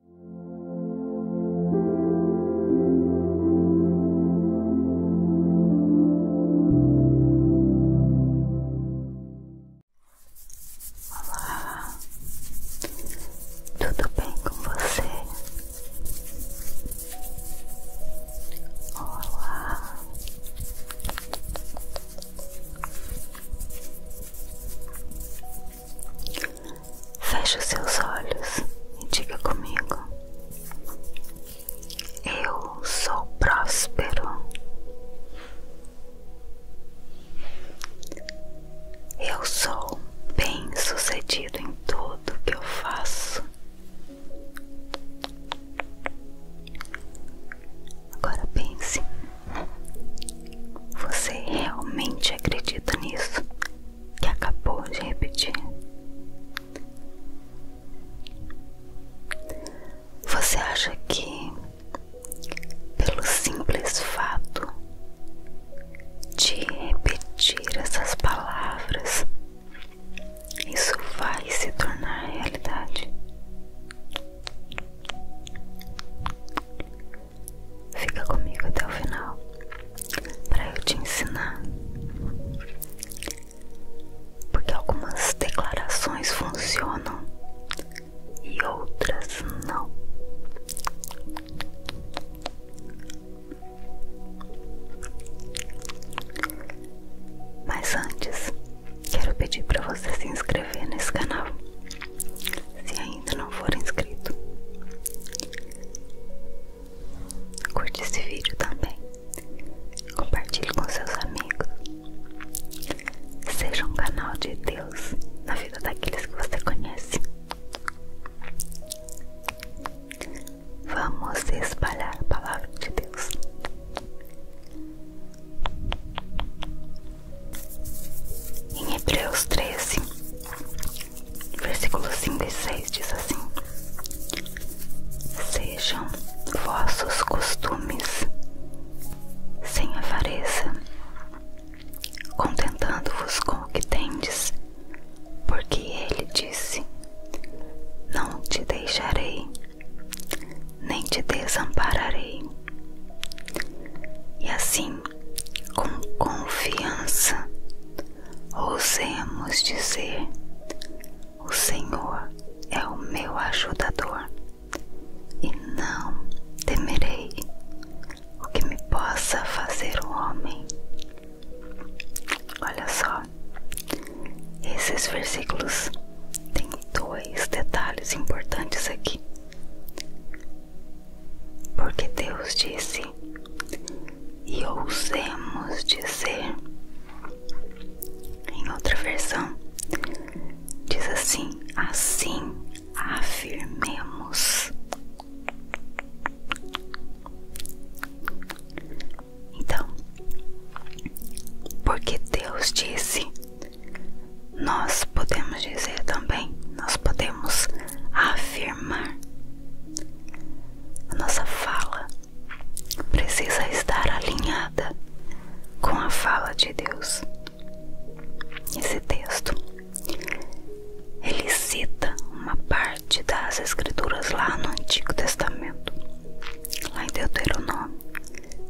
Olá, tudo bem com você? Olá, Feche seus olhos e diga comigo: Eu sou próspero. Eu sou bem-sucedido em tudo que eu faço. Agora pense. Você realmente acredita nisso? que acabou de repetir. Você acha que, pelo simples fato de repetir essas palavras, isso vai se tornar realidade? Fica comigo até o final para eu te ensinar. Porque algumas declarações funcionam e outras não. Mas antes, quero pedir para você se inscrever nesse canal se ainda não for inscrito. Curte esse vídeo também. Compartilhe com seus amigos. Seja um canal de Deus na vida daqueles que você conhece. Vamos espalhar a palavra de Deus. Em Hebreus 13, Versículos 5 e 6 diz assim: Sejam vossos costumes sem avareza, contentando-vos com o que tendes, porque ele disse: Não te deixarei, nem te desampararei. E assim com confiança, ousemos dizer: O Senhor é o meu ajudador e não temerei o que me possa fazer o homem. Olha só, esses versículos têm dois detalhes importantes aqui. Porque Deus disse, e ousemos dizer. Em outra versão, diz assim: assim afirmemos. Então, porque Deus disse, nós podemos dizer também, nós podemos afirmar a nossa fala precisa estar alinhada com a fala de Deus. Esse texto ele cita uma parte das escrituras lá no Antigo Testamento, lá em Deuteronômio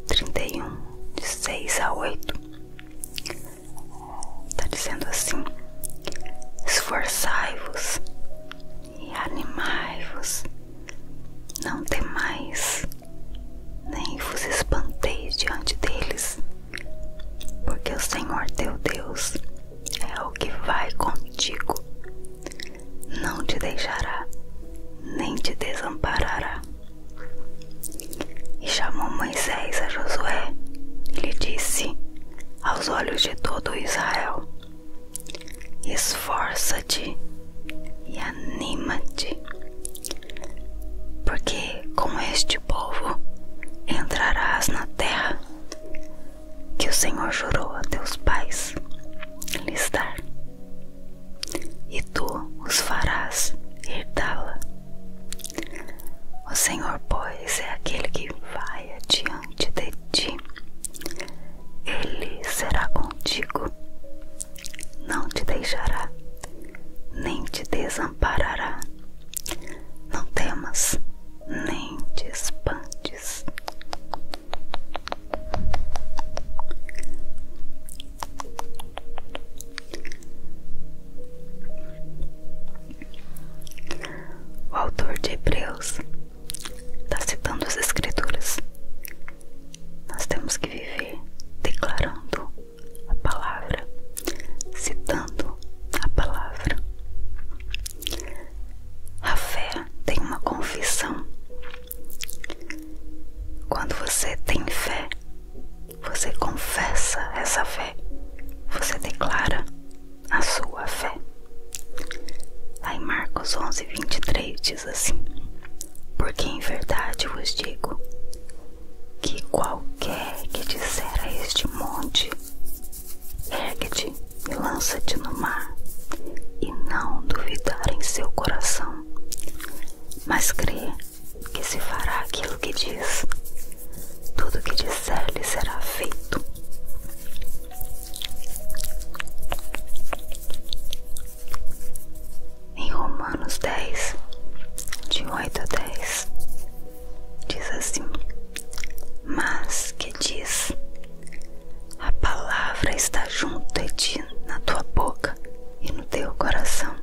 31, de 6 a 8. Está dizendo assim: esforçai-vos e animai-vos, não temais, nem vos espanteis diante deles, porque o Senhor teu Deus é o que vai contigo, não te deixará, nem te desamparará. E chamou Moisés a Josué e lhe disse: aos olhos de todo Israel. Esforça-te e anima-te, porque com este povo entrarás na terra que o Senhor jurou a teus pais lhes dar, e tu os farás herdá-la. O Senhor, pois, é aquele que vai adiante de ti, ele será contigo, não te deixará, nem te desamparará. Não temas, nem te espantes. O autor de Hebreus está citando as Escrituras. Nós temos que viver declarando a palavra, citando a palavra. A fé tem uma confissão. Quando você tem fé, você confessa essa fé, você declara a sua fé. Lá em Marcos 11, 23 diz assim: Porque em verdade vos digo que qualquer que disser a este monte, ergue-te e lança-te no mar, e não duvidar em seu coração, mas crer que se fará aquilo que diz, tudo que disser lhe será feito. Em Romanos 10, de 8 a 10, diz assim: Mas que diz, a palavra está junto de ti, na tua boca e no teu coração.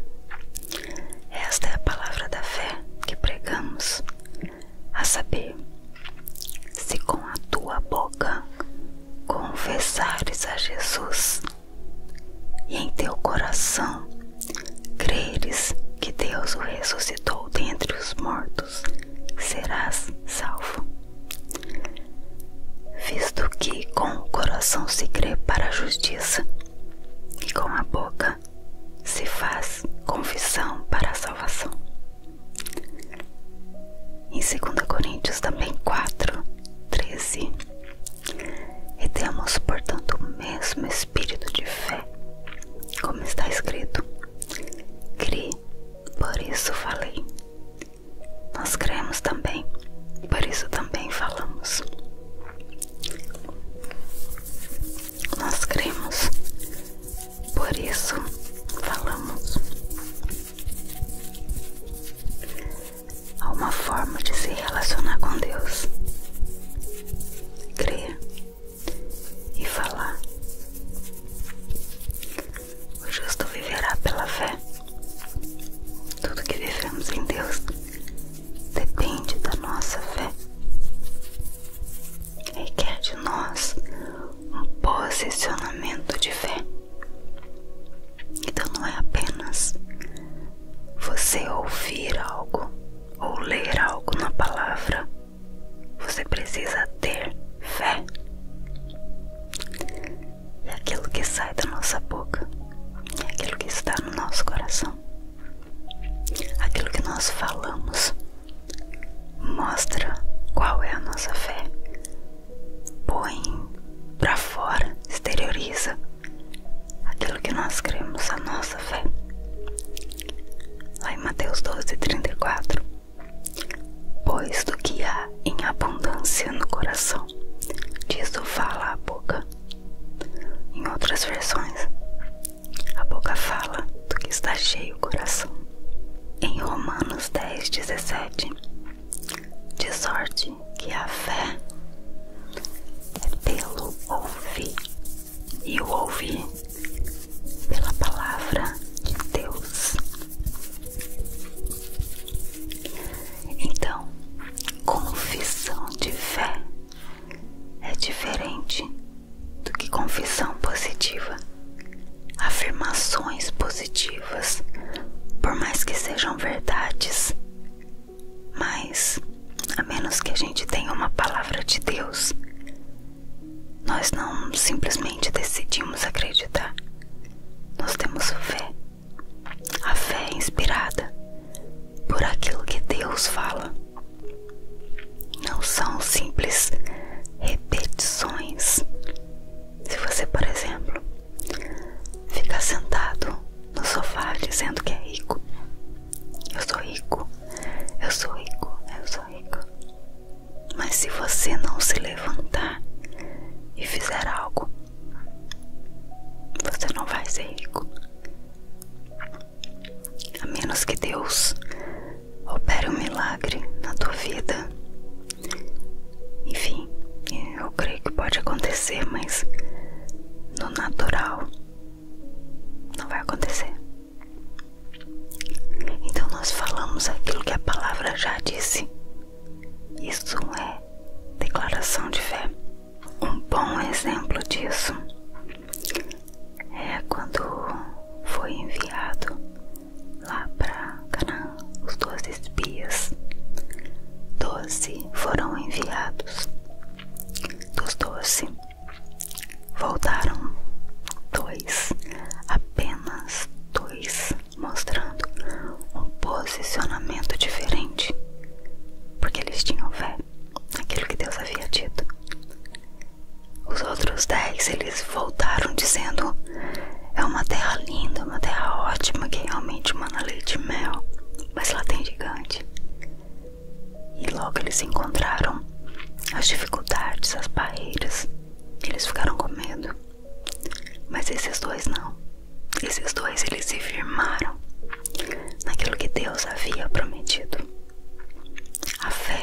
Esta é a palavra da fé que pregamos a saber, se com a tua boca confessares a Jesus e em teu coração creres que Deus o ressuscitou dentre os mortos, serás salvo. Visto que com o coração se crê para a justiça e com a boca se faz confissão para a salvação. Em 2 Coríntios também 4, 13. E temos, portanto, o mesmo espírito de fé, como está escrito. Cri, por isso falei. Nós cremos também, por isso também falamos nós cremos, por isso falamos. Há uma forma de se relacionar com Deus: crer e falar. O justo viverá pela fé. Tudo que vivemos em Deus depende da nossa fé requer de nós um posicionamento de fé. Então não é apenas você ouvir algo ou ler algo na palavra. Você precisa ter fé. E é aquilo que sai da nossa boca, é aquilo que está no nosso coração, aquilo que nós falamos Mostra qual é a nossa fé. Põe para fora, exterioriza aquilo que nós cremos, a nossa fé. Lá em Mateus 12, 34. Pois do que há em abundância no coração, diz o fala a boca. Em outras versões, a boca fala do que está cheio o coração. Em Romanos 10, 17, de sorte que a fé é pelo ouvir e o ouvir pela palavra de Deus. Então, confissão de fé é diferente do que confissão positiva. Afirmações positivas, por mais que sejam verdades, mas a menos que a gente tenha uma palavra de Deus, nós não simplesmente decidimos acreditar. Nós temos fé. A fé é inspirada por aquilo que Deus fala. Não são simples repetições. Se você, por exemplo, ficar sentado no sofá dizendo que é rico, eu sou rico, eu sou rico, eu sou rico. Mas se você não se levantar e fizer algo, você não vai ser rico a menos que Deus opere um milagre na tua vida. Enfim, eu creio que pode acontecer, mas no natural não vai acontecer. Então nós falamos aquilo que a palavra já disse. Isso é declaração de fé. Um bom exemplo disso é quando foi enviado lá para Canaã os doze espias. Doze foram enviados. Dos doze voltaram dois, apenas dois, mostrando um posicionamento diferente, porque eles tinham fé naquilo que Deus havia dito. Os outros dez eles voltaram dizendo: É uma terra linda, uma terra ótima que é realmente mana leite e mel, mas lá tem gigante. E logo eles encontraram as dificuldades, as barreiras. Eles ficaram com medo. Mas esses dois não. Esses dois eles se firmaram naquilo que Deus havia prometido. A fé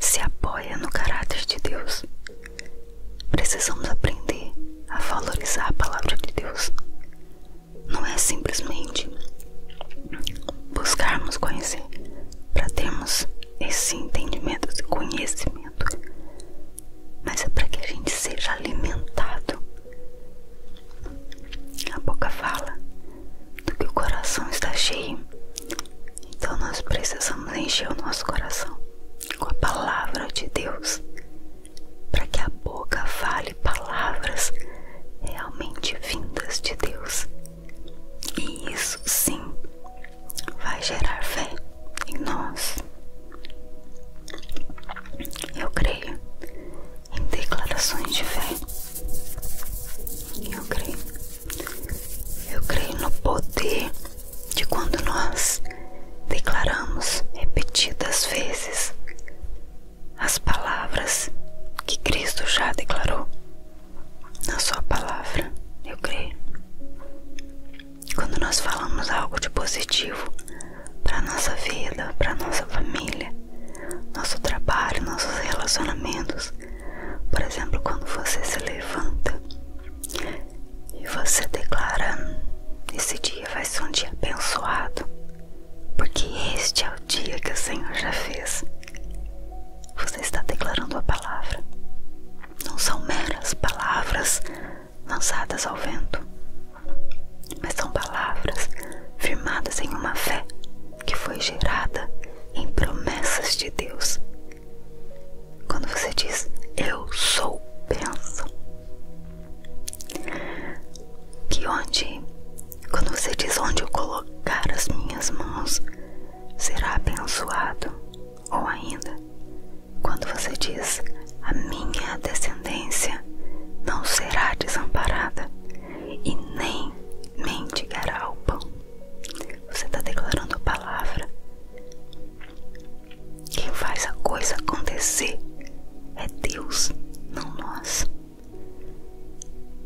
se apoia no caráter de Deus. Precisamos aprender a valorizar a palavra de Deus. Não é simplesmente buscarmos conhecer para termos esse entendimento, e conhecimento, mas é para que a gente seja alimentado. A boca fala, do que o coração está cheio. Então nós precisamos encher o nosso coração com a palavra de Deus, para que a boca fale palavras realmente vindas de Deus. E isso sim vai gerar fé em nós. Eu creio em declarações de fé. Eu creio eu creio no poder de quando nós declaramos repetidas vezes as palavras que Cristo já declarou na Sua palavra. Eu creio. que Quando nós falamos algo de positivo para nossa vida, para nossa família, nosso trabalho, nossos relacionamentos, por exemplo, quando você se levanta e você declara: Esse dia vai ser um dia abençoado, porque este é o dia que o Senhor já fez. Você está declarando a palavra. Não são meras palavras lançadas ao vento, mas são palavras firmadas em uma fé que foi gerada em promessas de Deus quando você diz eu sou benção, que onde, quando você diz onde eu colocar as minhas mãos, será abençoado, ou ainda, quando você diz a minha descendência não será desamparada e nem mendigará o pão. Você está declarando a palavra. Quem faz a coisa acontecer é Deus, não nós.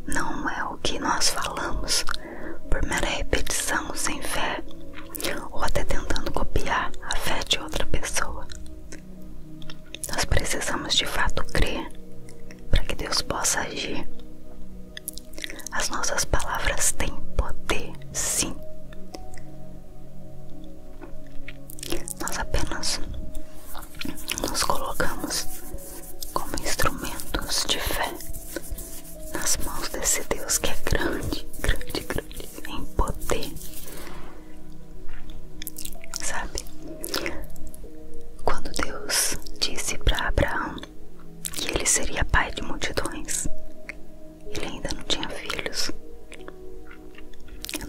Não é o que nós falamos por mera repetição sem fé ou até tentando copiar a fé de outra pessoa. Nós precisamos de fato crer para que Deus possa agir. As nossas palavras têm poder, sim. Nós apenas nos colocamos como instrumentos de fé nas mãos desse Deus que é grande, grande, grande em poder. Sabe? Quando Deus disse para Abraão que ele seria pai de multidões. Ele ainda não tinha filhos.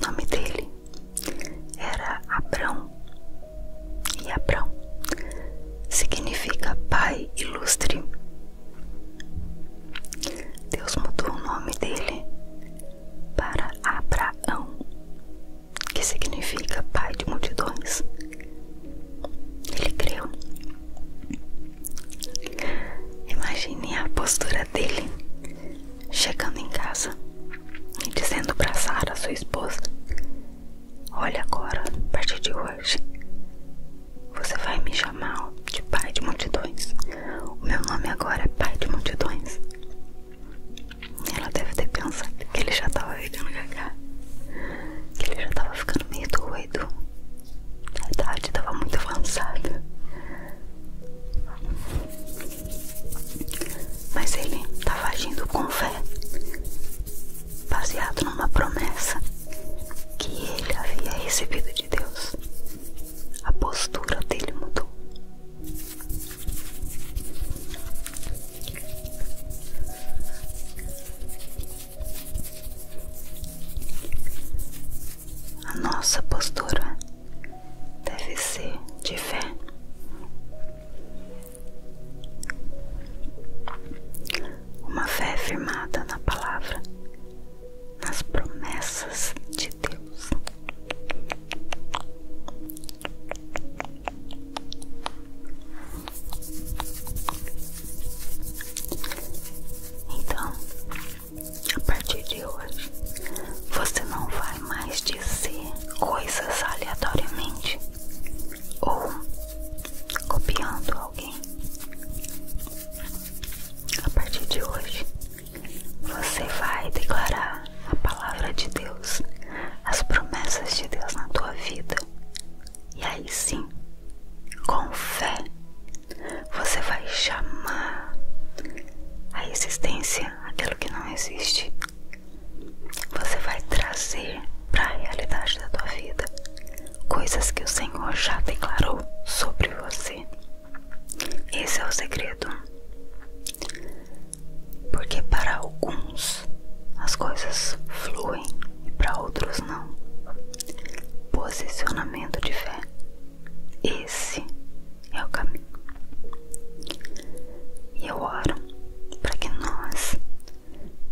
O nome dele era Abrão. E Abrão significa pai ilustre. Deus mudou o nome dele para Abraão, que significa pai de multidões. Ele creu. Imagine a postura dele chegando em casa e dizendo para Sara, sua esposa: Olha agora, a partir de hoje, você vai me chamar de pai de multidões. O meu nome agora é pai de multidões. Ela deve ter pensado que ele já estava virando gaga que ele já tava ficando meio doido. na verdade tava muito avançado, Mas ele tava agindo com fé, baseado numa promessa que ele havia recebido de Deus. A postura dele mudou. A nossa postura deve ser de fé. Uma fé firmada na palavra, nas promessas de Deus. Então, a partir de hoje, você não vai mais dizer coisas aleatoriamente ou copiando alguém. A partir de hoje, você vai declarar a palavra de Deus, as promessas de Deus na tua vida e aí sim, com fé, você vai chamar a existência aquilo que não existe. Você vai trazer para a realidade da tua vida coisas que o Senhor já declarou sobre você. Esse é o segredo. Porque para alguns as coisas fluem e para outros não. Posicionamento de fé. Esse é o caminho. E eu oro para que nós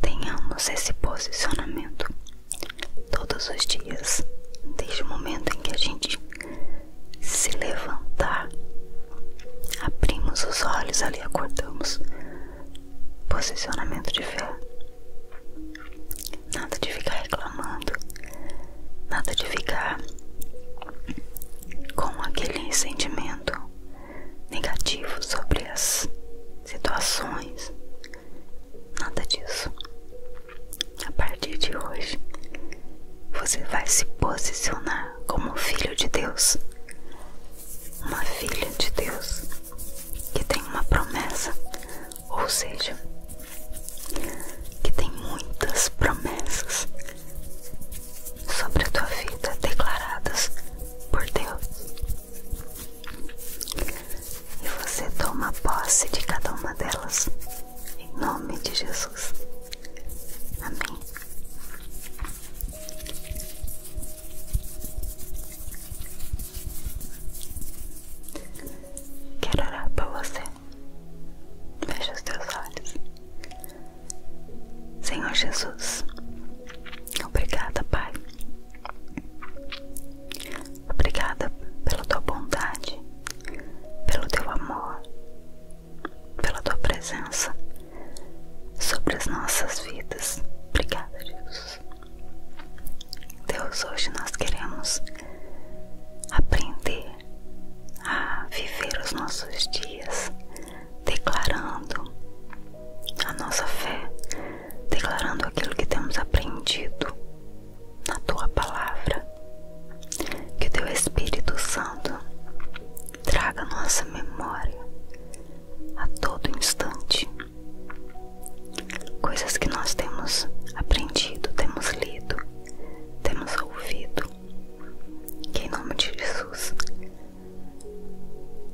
tenhamos esse posicionamento todos os dias, desde o momento em que a gente se levantar, abrimos os olhos ali, acordamos. Posicionamento de fé. Nada de ficar reclamando. Nada de ficar com aquele sentimento negativo sobre as situações. Nada disso. A partir de hoje, você vai se posicionar como filho de Deus, uma filha de Deus, que tem uma promessa, ou seja, que tem muitas promessas sobre a tua vida declaradas por Deus. E você toma posse de cada uma delas em nome de Jesus. Amém. Quero orar por você. Feche os teus olhos. Senhor Jesus, obrigada, Pai. Obrigada pela tua bondade, pelo teu amor, pela tua presença sobre as nossas vidas. Obrigada, Jesus. Deus. hoje nós queremos aprender a viver os nossos dias declarando a nossa fé, declarando aquilo que temos aprendido na tua palavra. Que o teu Espírito Santo traga nossa memória a todo instante. Coisas que nós temos aprendido, temos lido, temos ouvido. Que em nome de Jesus,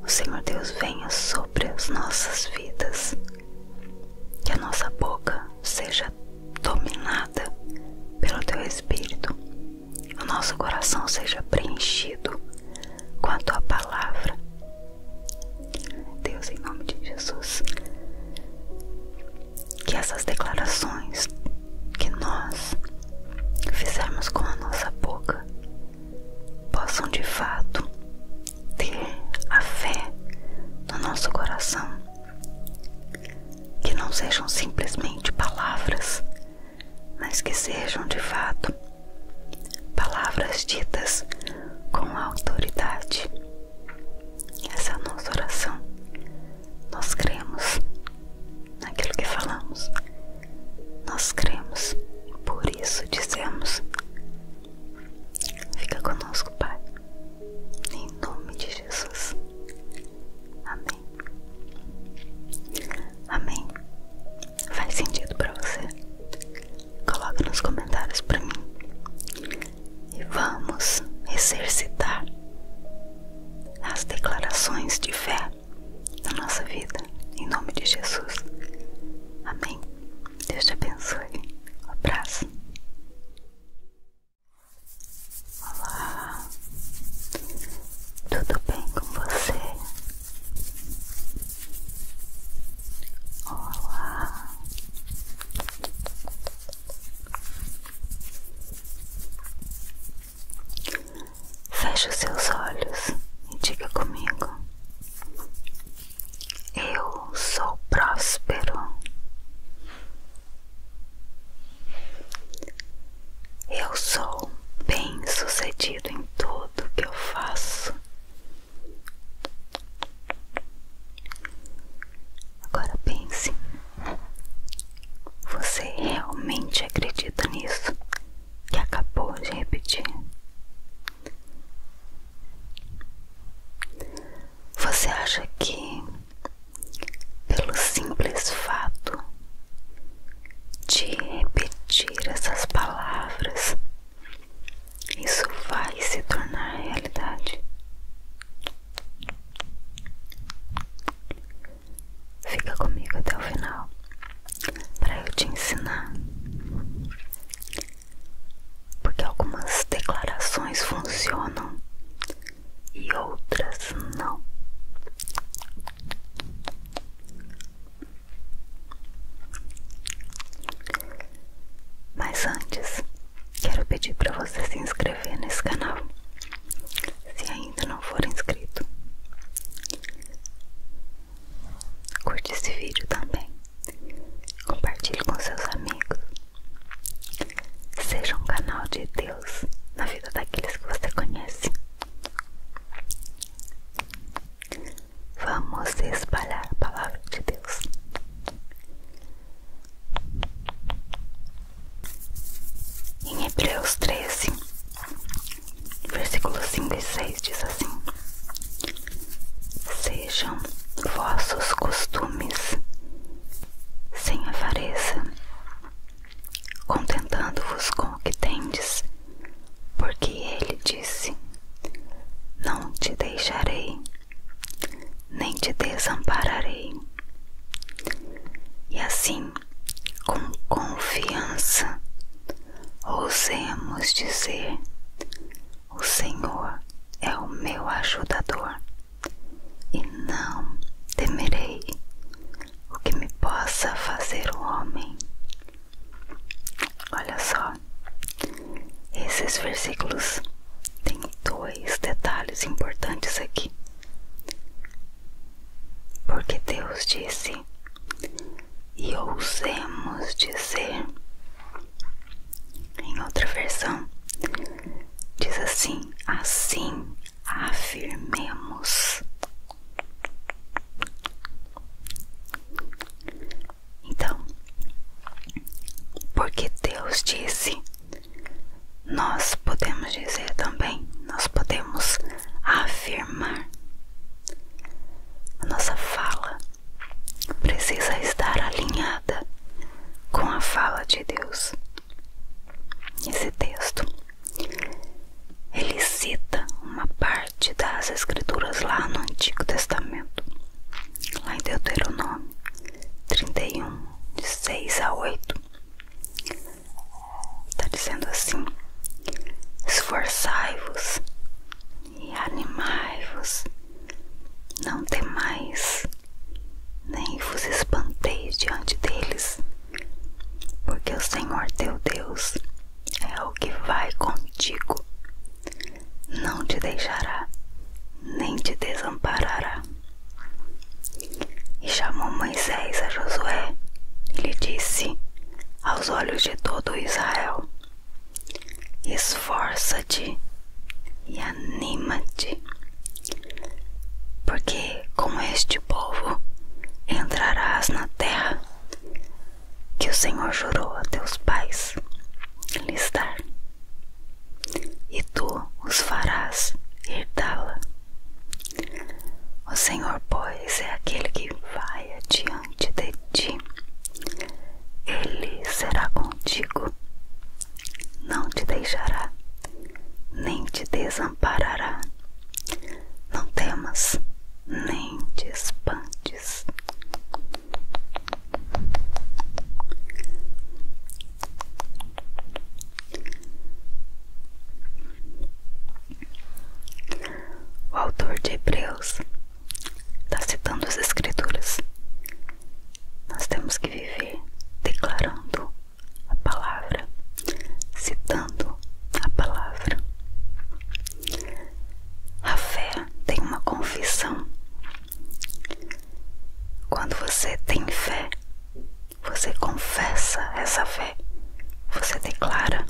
o Senhor Deus venha sobre as nossas vidas. Que a nossa boca seja dominada pelo Teu Espírito, o nosso coração seja preenchido com a tua palavra. Deus, em nome de Jesus, que essas declarações que nós fizermos com a nossa boca possam de fato ter a fé no nosso coração, que não sejam simplesmente palavras, mas que sejam de fato Palavras ditas com autoridade. Essa é a nossa oração. Nós cremos naquilo que falamos. Nós cremos e por isso dizemos: Fica conosco, Pai. Em nome de Jesus. Amém. Amém. Faz sentido para você? Coloca nos comentários para mim. E vamos exercitar as declarações de fé na nossa vida, em nome de Jesus. Amém. Deus te abençoe. Um abraço. Olá, tudo bem com você? Olá. Feche os seus olhos e diga comigo. Eu sou próspero. Eu sou bem-sucedido em tudo tudo que eu faço. Agora pense: você realmente acredita nisso que acabou de repetir? Você acha que, pelo simples fato de repetir essas palavras, isso vai se tornar realidade. Fica comigo até o final para eu te ensinar. Porque algumas declarações funcionam e outras não. Mas antes, quero pedir para você se inscrever nesse canal, se ainda não for inscrito. Curte esse vídeo também, compartilhe com seus amigos. Seja um canal de Deus na vida daqueles que você conhece. Vamos espalhar a palavra de Deus. Em Hebreus 13, versículos 5 e 6 diz assim: Sejam vossos costumes sem avareza, contentando-vos com o que tendes, porque ele disse: não te deixarei, nem te desampararei. E assim, com confiança, ousemos dizer: O Senhor é o meu ajudador, e não temerei o que me possa fazer o homem. Olha só, esses versículos têm dois detalhes importantes aqui. Porque Deus disse: E ousemos dizer. Em outra versão, diz assim: Assim afirmemos. Então, porque Deus disse, nós podemos dizer também, nós podemos afirmar. A nossa fala precisa estar alinhada com a fala de Deus. Esse texto ele cita uma parte das escrituras lá no Antigo Testamento lá em Deuteronômio 31, de 6 a 8, está dizendo assim: Esforçai-vos e animai-vos, não temais, nem vos espanteis diante deles, porque o Senhor teu Deus é o que vai contigo não te deixará, nem te desamparará. E chamou Moisés a Josué e lhe disse, aos olhos de todo Israel: Esforça-te e anima-te, porque com este povo entrarás na terra que o Senhor jurou a teus pais lhes dar e tu os farás herdá-la. O Senhor, pois, é aquele que vai adiante de ti, ele será contigo, não te deixará, nem te desamparará. Não temas, nem te espantes, o autor de Hebreus está citando as Escrituras. Nós temos que viver declarando a palavra, citando a palavra. A fé tem uma confissão quando você tem fé, você confessa essa fé, você declara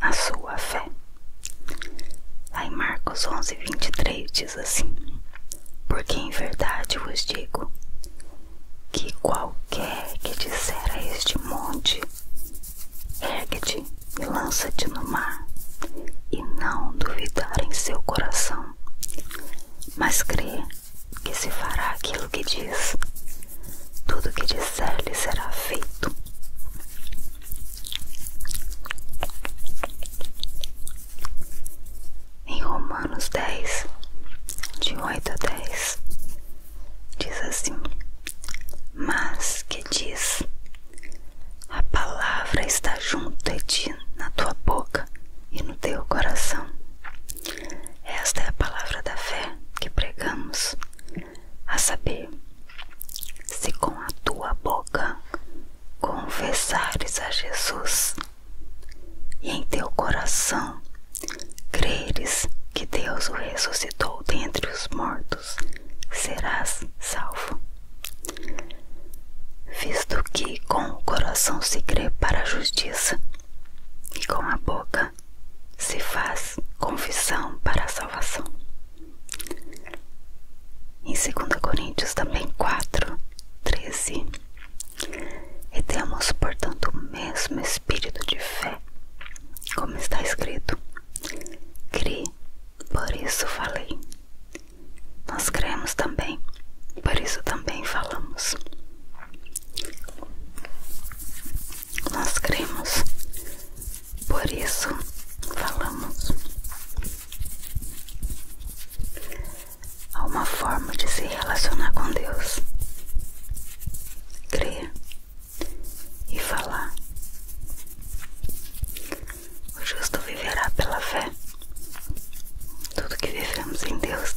a sua fé. Lá em Marcos 11, 23 diz assim: Porque em verdade vos digo que qualquer que disser a este monte, ergue-te e lança lança-te no mar e não duvidar em seu coração, mas crê que se fará aquilo que diz. Tudo que disser lhe será feito. Em Romanos 10, de 8 a 10, diz assim: Mas que diz a palavra está junto de ti, na tua boca e no teu coração. Esta é a palavra da fé que pregamos, a saber, se com a tua boca confessares a Jesus e em teu coração creres que Deus o ressuscitou dentre os mortos, serás salvo visto que com o coração se crê para a justiça e com a boca se faz confissão para a salvação. Em 2 Coríntios também 4, 13. E temos, portanto, o mesmo espírito de fé, como está escrito. Cri, por isso falei nós cremos também, por isso também falamos. Nós cremos, por isso falamos. Há uma forma de se relacionar com Deus. Crer e falar. O justo viverá pela fé. Tudo que vivemos em Deus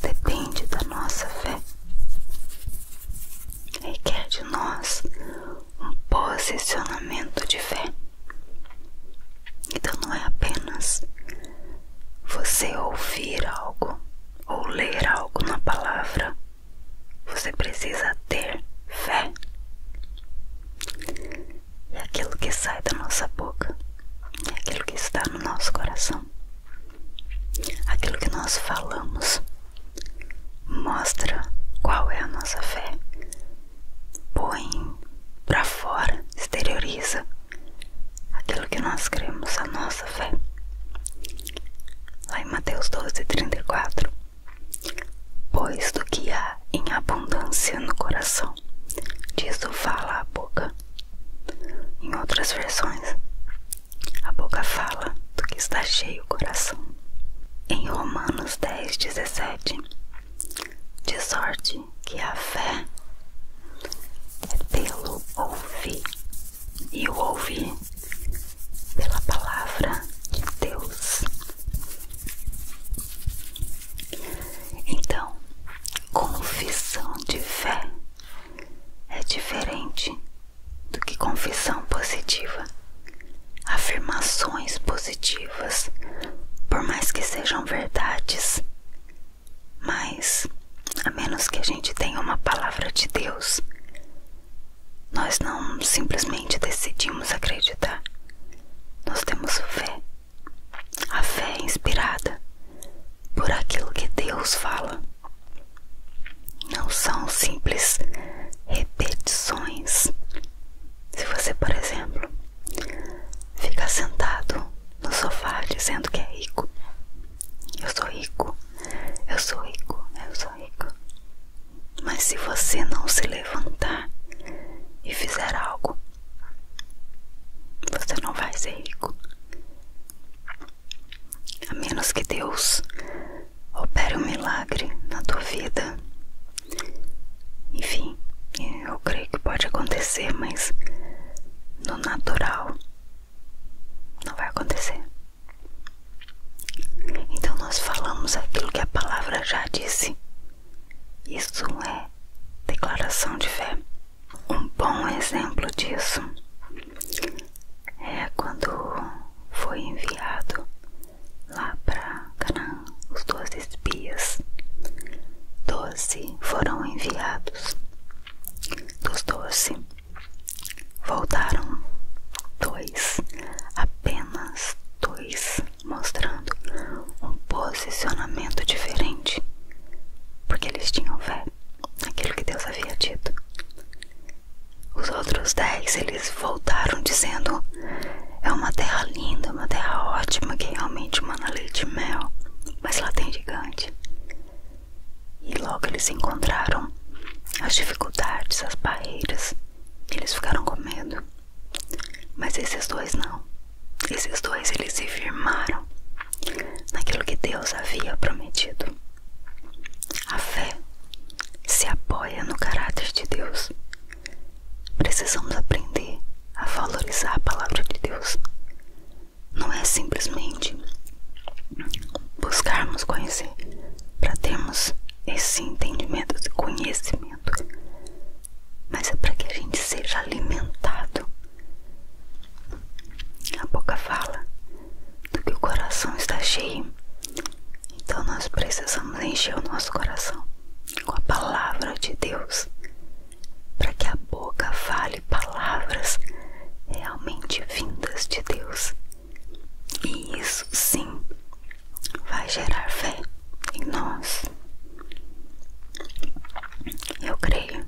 depende da nossa fé. Requer de nós um posicionamento de fé. Então não é apenas você ouvir algo ou ler algo na palavra. Você precisa ter fé é aquilo que sai da nossa boca, é aquilo que está no nosso coração. Aquilo que nós falamos mostra qual é a nossa fé. Põe para fora, exterioriza aquilo que nós cremos, a nossa fé. Lá em Mateus 12, 34. Pois do que há em abundância no coração coração. Disso fala a boca. Em outras versões, a boca fala do que está cheio o coração. Em Romanos 10:17, 17, de sorte que a fé é pelo ouvir, e o ouvir pela palavra de Deus. Então, confissão de fé é diferente do que confissão positiva. Afirmações positivas, por mais que sejam verdades, mas a menos que a gente tenha uma palavra de Deus, nós não simplesmente decidimos acreditar. Nós temos fé. A fé é inspirada por aquilo que Deus fala. Não são simples repetições. Se você, por exemplo, ficar sentado no sofá dizendo que é rico, eu sou rico, eu sou rico, eu sou rico. Mas se você não se levantar e fizer algo você não vai ser rico. A menos que Deus opere um milagre na tua vida. Enfim, eu creio que pode acontecer, mas no natural não vai acontecer. Então nós falamos aquilo que a palavra já disse. Isso é declaração de fé. Um bom exemplo disso é quando foi enviado lá para Canaã os doze espias. Doze foram enviados. Dos doze voltaram dois, apenas dois mostrando um posicionamento diferente, porque eles tinham fé naquilo que Deus havia dito. Os outros dez eles voltaram dizendo: é uma terra linda, uma terra ótima que é realmente mana leite e mel, mas lá tem gigante. E logo eles encontraram as dificuldades, as barreiras, e eles ficaram com medo. Mas esses dois não. Esses dois eles se firmaram naquilo que Deus havia prometido. A fé se apoia no caráter de Deus. Precisamos aprender a valorizar a palavra de Deus. Não é simplesmente buscarmos conhecer para termos esse entendimento, e conhecimento, mas é para que a gente seja alimentado. A boca fala do que o coração está cheio, então nós precisamos encher o nosso coração com a palavra de Deus, para que a boca fale palavras realmente vindas de Deus. E isso sim vai gerar fé em nós. Eu creio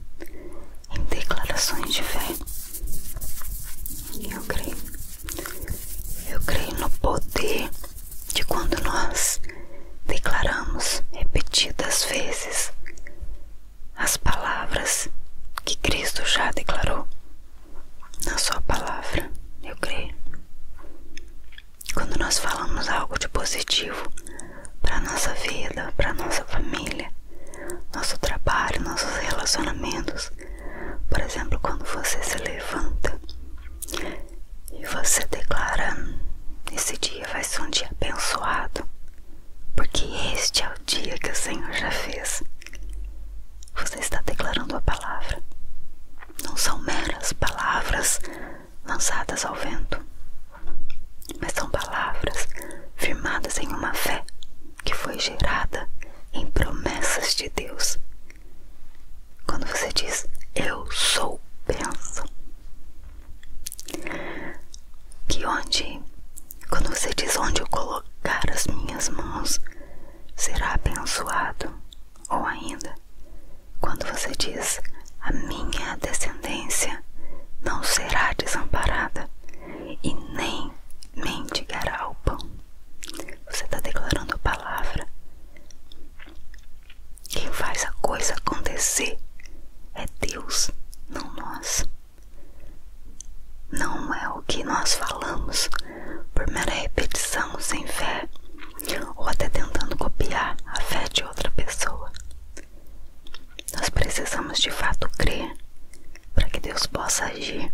em declarações de fé. Eu creio. Eu creio no poder de quando nós declaramos repetidas vezes as palavras que Cristo já declarou na Sua palavra. Eu creio. Quando nós falamos algo de positivo para nossa vida, para nossa família, nosso trabalho, nossos relacionamentos, por exemplo, quando você se levanta e você declara: esse dia vai ser um dia abençoado, porque este é o dia que o Senhor já fez. Você está declarando a palavra. Não são meras palavras lançadas ao vento, mas são palavras firmadas em uma fé que foi gerada em promessas de Deus. Quando você diz eu sou benção, que onde, quando você diz onde eu colocar as minhas mãos, será abençoado, ou ainda quando você diz a minha descendência não será desamparada e nem mendigará o pão. Você está declarando a palavra. Quem faz a coisa acontecer é Deus, não nós. Não é o que nós falamos por mera repetição sem fé ou até tentando copiar a fé de outra pessoa. Nós precisamos de fato crer para que Deus possa agir.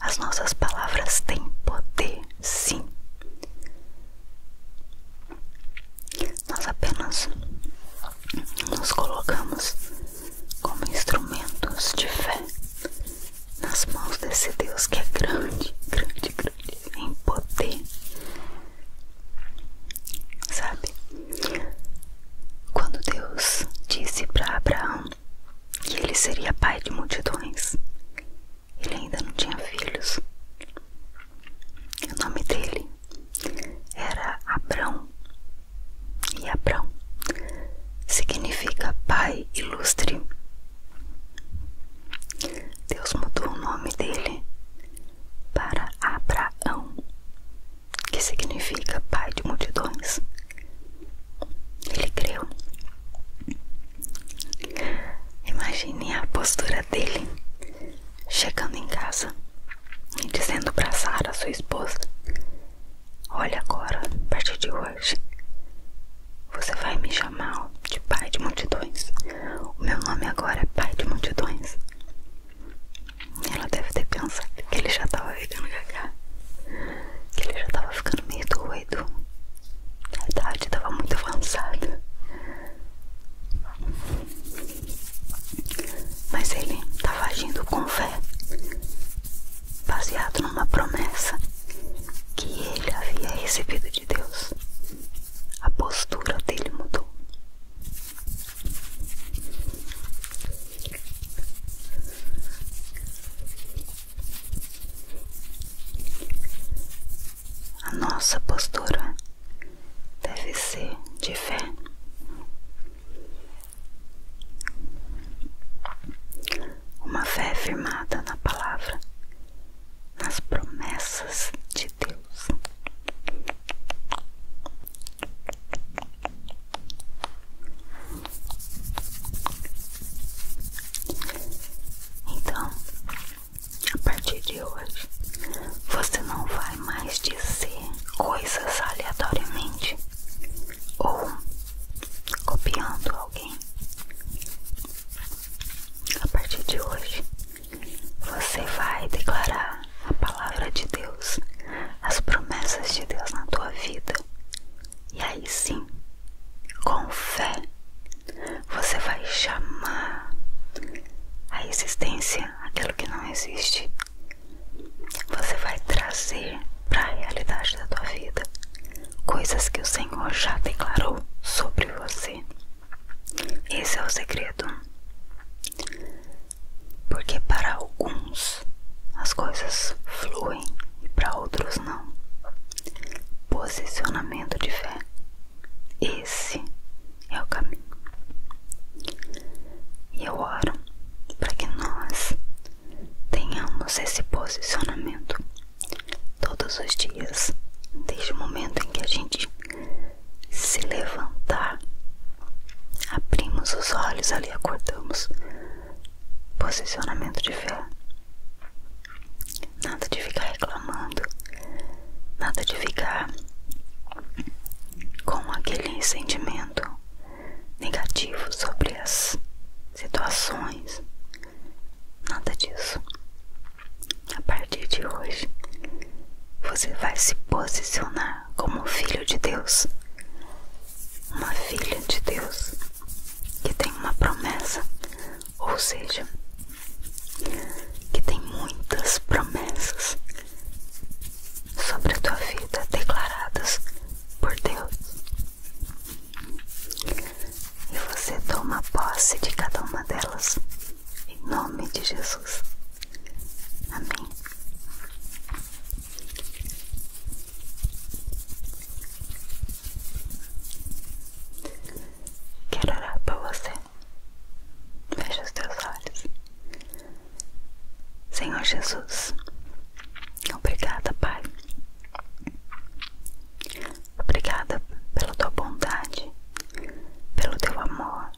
As nossas palavras têm poder, sim. Nós apenas nos colocamos como instrumentos de fé nas mãos desse Deus que é grande, grande, grande em poder, sabe? Quando Deus disse para Abraão que ele seria pai de multidões, ele ainda não tinha filhos. O nome dele era Abrão. E Abrão significa pai ilustre. Deus mudou o nome dele para Abraão, que significa pai de multidões. Ele creu. Imagine a postura dele chegando em casa e dizendo para Sara, sua esposa: Olha agora, a partir de hoje, você vai me chamar de pai de multidões. O meu nome agora é Pai de Multidões. Ela deve ter pensado que ele já tava ficando gaga, que ele já estava ficando meio doido. A idade estava muito avançada. Mas ele tava agindo com fé, baseado numa promessa que ele havia recebido de Deus. A postura dele mudou. A nossa postura deve ser de fé. Uma fé firmada na palavra nas promessas de Deus. Então, a partir de hoje, você não vai mais dizer coisas aleatoriamente ou copiando alguém. A partir de hoje, você vai declarar a palavra de Deus, as promessas de Deus na tua vida. E aí sim, com fé, você vai chamar a existência aquilo que não existe. Você vai trazer para a realidade da tua vida coisas que o Senhor já declarou sobre você. Esse é o segredo. Porque para alguns as coisas fluem e para outros não. Posicionamento de fé. Esse é o caminho. E eu oro para que nós tenhamos esse posicionamento todos os dias, desde o momento em que a gente se levantar. Abrimos os olhos ali, acordamos. Posicionamento de fé. Nada de ficar reclamando, nada de ficar com aquele sentimento negativo sobre as situações. Nada disso. A partir de hoje, você vai se posicionar como filho de Deus, uma filha de Deus que tem uma promessa, ou seja, que tem muitas promessas sobre a tua vida declaradas por Deus. E você toma posse de cada uma delas em nome de Jesus. Amém. Quero orar para você. Feche os teus olhos. Senhor Jesus, obrigada, Pai. Obrigada pela tua bondade pelo teu amor,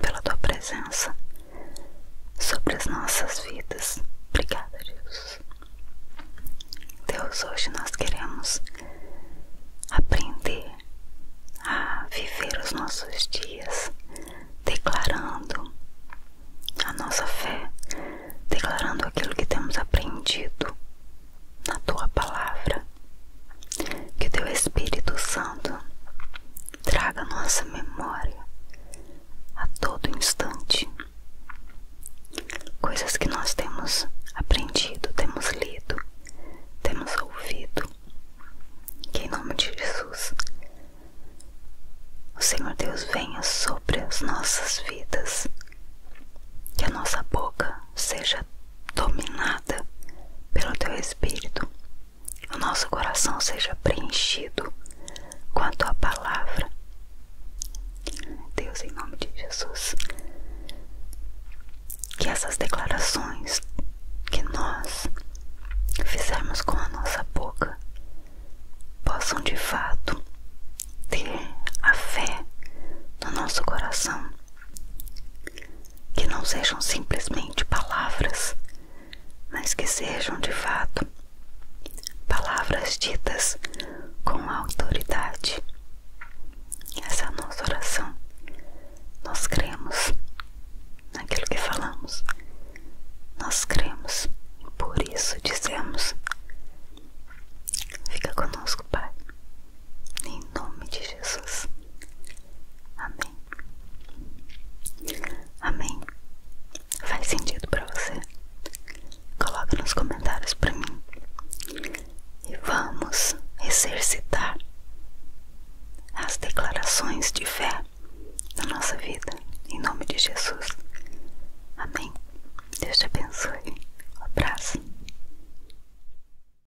pela tua presença sobre as nossas vidas. Obrigada, Deus. Deus, hoje nós queremos aprender a viver os nossos dias declarando a nossa fé, declarando aquilo que temos aprendido na tua palavra. Que o teu Espírito Santo traga nossa memória a todo instante coisas que nós temos aprendido, temos lido, temos ouvido. Que em nome de Jesus, o Senhor Deus venha sobre as nossas vidas, que a nossa boca seja dominada pelo teu espírito, o nosso coração seja preenchido com a tua palavra. Deus, em nome de Jesus, que essas declarações que nós fizermos com a nossa boca possam de fato ter a fé no nosso coração que não sejam simplesmente palavras, mas que sejam de fato palavras ditas com autoridade. Essa é a nossa oração. Nós cremos naquilo que falamos, nós cremos e por isso dizemos. Fica conosco, Pai, em nome de Jesus. Amém. Amém. Faz sentido para você? Coloca nos comentários para mim. E vamos exercitar as declarações de fé na nossa vida, em nome de Jesus. Amém. Deus te abençoe. Um abraço.